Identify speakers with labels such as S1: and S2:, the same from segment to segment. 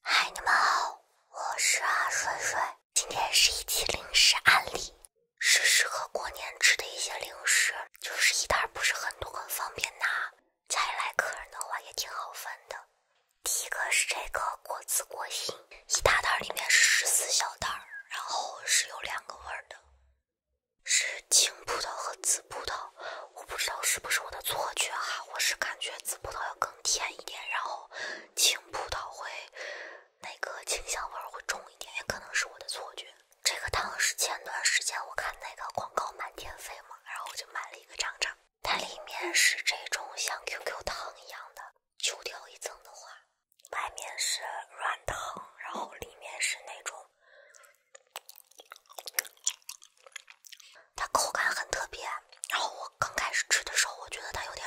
S1: 嗨，你们好，我是阿水水。今天是一期零食案例，是适合过年吃的一些零食，就是一袋儿不是很多，很方便拿。家里来客人的话也挺好分的。第一个是这个果子果心，一大袋里面是十四小袋儿，然后是有两个味儿的。是青葡萄和紫葡萄，我不知道是不是我的错觉哈，我是感觉紫葡萄要更甜一点，然后青葡萄会那个清香味会重一点，也可能是我的错觉。这个糖是前段时间我看那个广告满天飞嘛，然后我就买了一个尝尝。它里面是这种像 QQ 糖一样的，揪掉一层的话，外面是软糖，然后里面是那种。它口感很特别，然后我刚开始吃的时候，我觉得它有点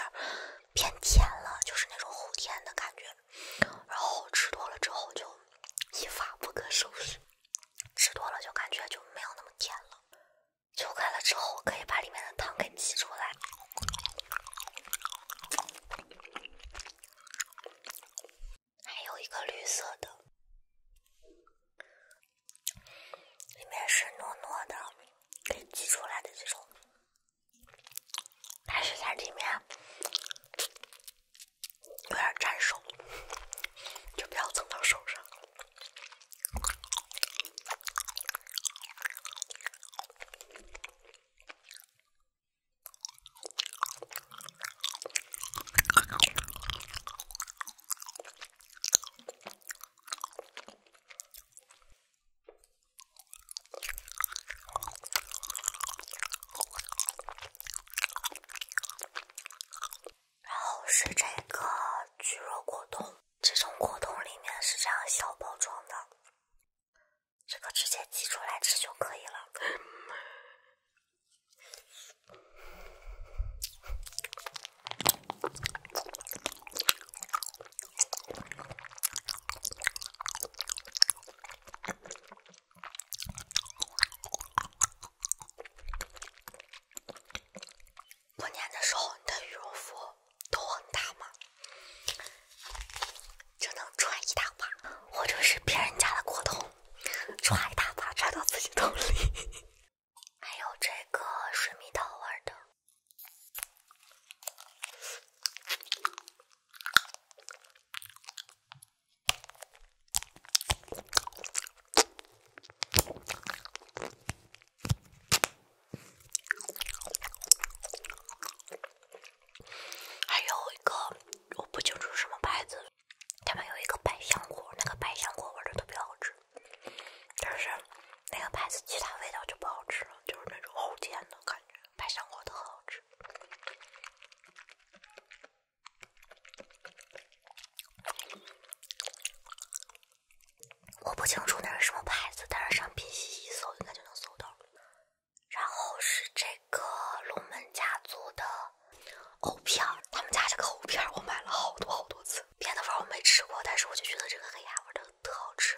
S1: 偏甜了，就是那种齁甜的感觉。然后吃多了之后就一发不可收拾，吃多了就感觉就没有那么甜了。揪开了之后，可以把里面的汤给挤出来。还有一个绿色的，里面是糯糯的，挤出来的这种，但是在里面有点粘手，就不要蹭到手上。然后是这个蒟蒻果冻，这种果冻里面是这样小包装的，这个直接挤出来吃就可以了。过年的时候，你的羽绒服都很大吗？只能穿一大把，或者是别人家的过冬。揣它，插到自己兜里。还有这个水蜜桃味的，还有一个我不清楚什么牌子。他们有一个百香果，那个百香果味的特别好吃，但是那个牌子其他味道就不好吃了，就是那种齁甜的感觉。百香果的很好吃，我不清楚那是什么牌子，但是上夕夕一搜应该就能搜到。然后是这个龙门家族的。藕片儿，他们家这个藕片儿，我买了好多好多次。别的味儿我没吃过，但是我就觉得这个黑鸭味儿的特好吃。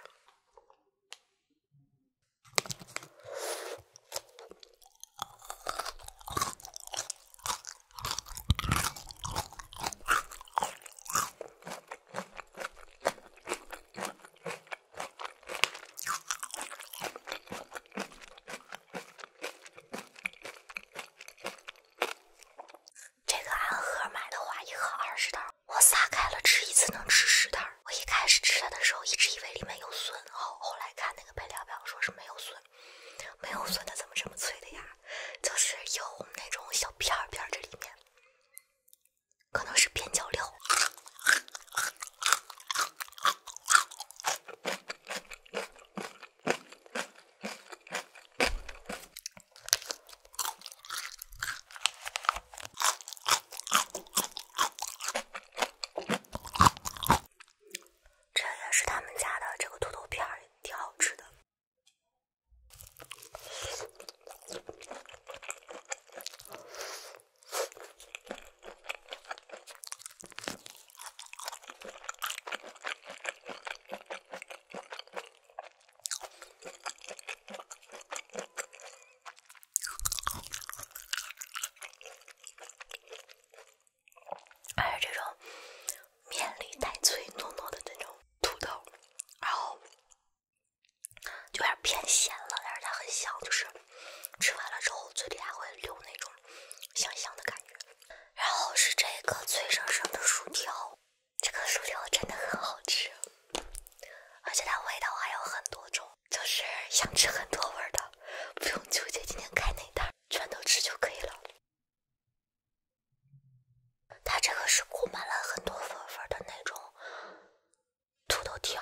S1: 这个按盒买的话，一盒二十袋，我撒开了吃一次能吃十袋。我一开始吃它的时候，一直以为里面有笋，后后来看那个配料表，说是没有笋，没有笋它怎么这么脆的呀？就是有那种小片片这里面，可能是边角料。这也是他们家的这个土豆片也挺好吃的。而且这种面里带脆糯糯的那种土豆，然后就有点偏咸了，但是它很香，就是。吃完了之后，嘴里还会留那种香香的感觉。然后是这个脆生生的薯条，这个薯条真的很好吃，而且它味道还有很多种，就是想吃很多味儿的，不用纠结今天开哪袋，全都吃就可以了。它这个是裹满了很多粉粉的那种土豆条。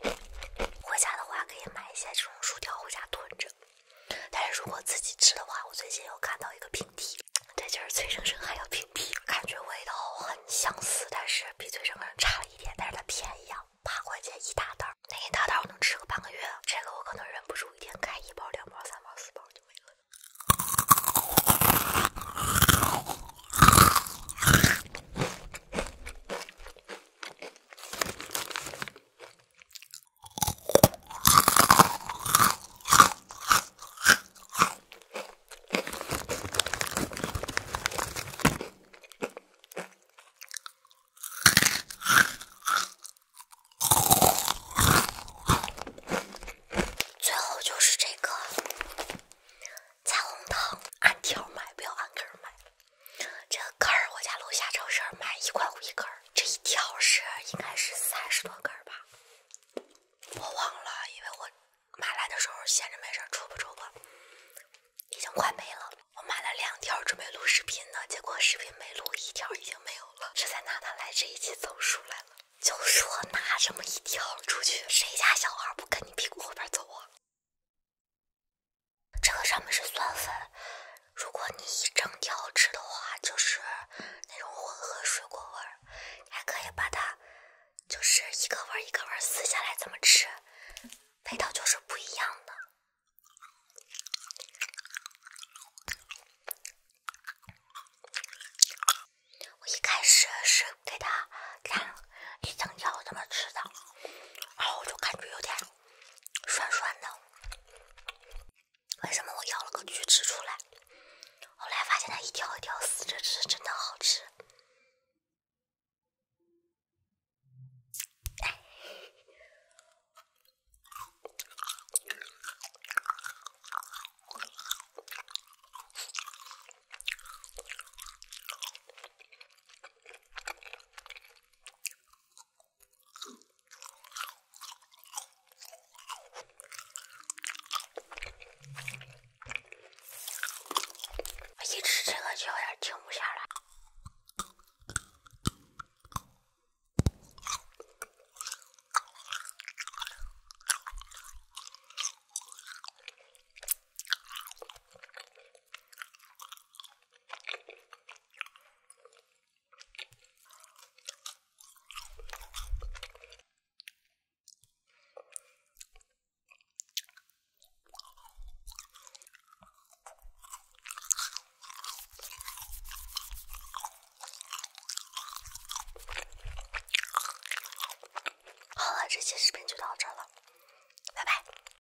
S1: 回家的话可以买一些这种薯条回家囤着，但是如果自己吃的话，我最近又看到一个平替，这就是脆生生还有平替，感觉味道很相似，但是比脆生生差了一点，但是它便宜啊，八块钱一大袋，那一大袋我能吃个半个月，这个我可能忍不住一天开一包、两包、三包、四包就没了。最后就是这个彩虹糖，按条买，不要按根买。这根儿，我家楼下超市买一块五一根儿，这一条是应该是三十多根儿吧，我忘了，因为我买来的时候闲着没事儿戳吧戳吧，已经快没了。我买了两条准备录视频呢，结果视频没录，一条已经没有了，这才拿它来这一期走数来了。就说拿这么一条出去，谁家小孩不跟你屁股后边走啊？这个上面是酸粉，如果你一整条吃的话，就是那种混合水果味儿。你还可以把它就是一个味儿一个味儿撕下来怎么吃，味道就是不一样的。我一开始是给它一整条怎么吃的，然后我就感觉有点。酸酸的，为什么我咬了个锯齿出来？后来发现它一条一条撕着吃，真的好吃。我一吃这个就有点停不下来。好了，这期视频就到这了，拜拜。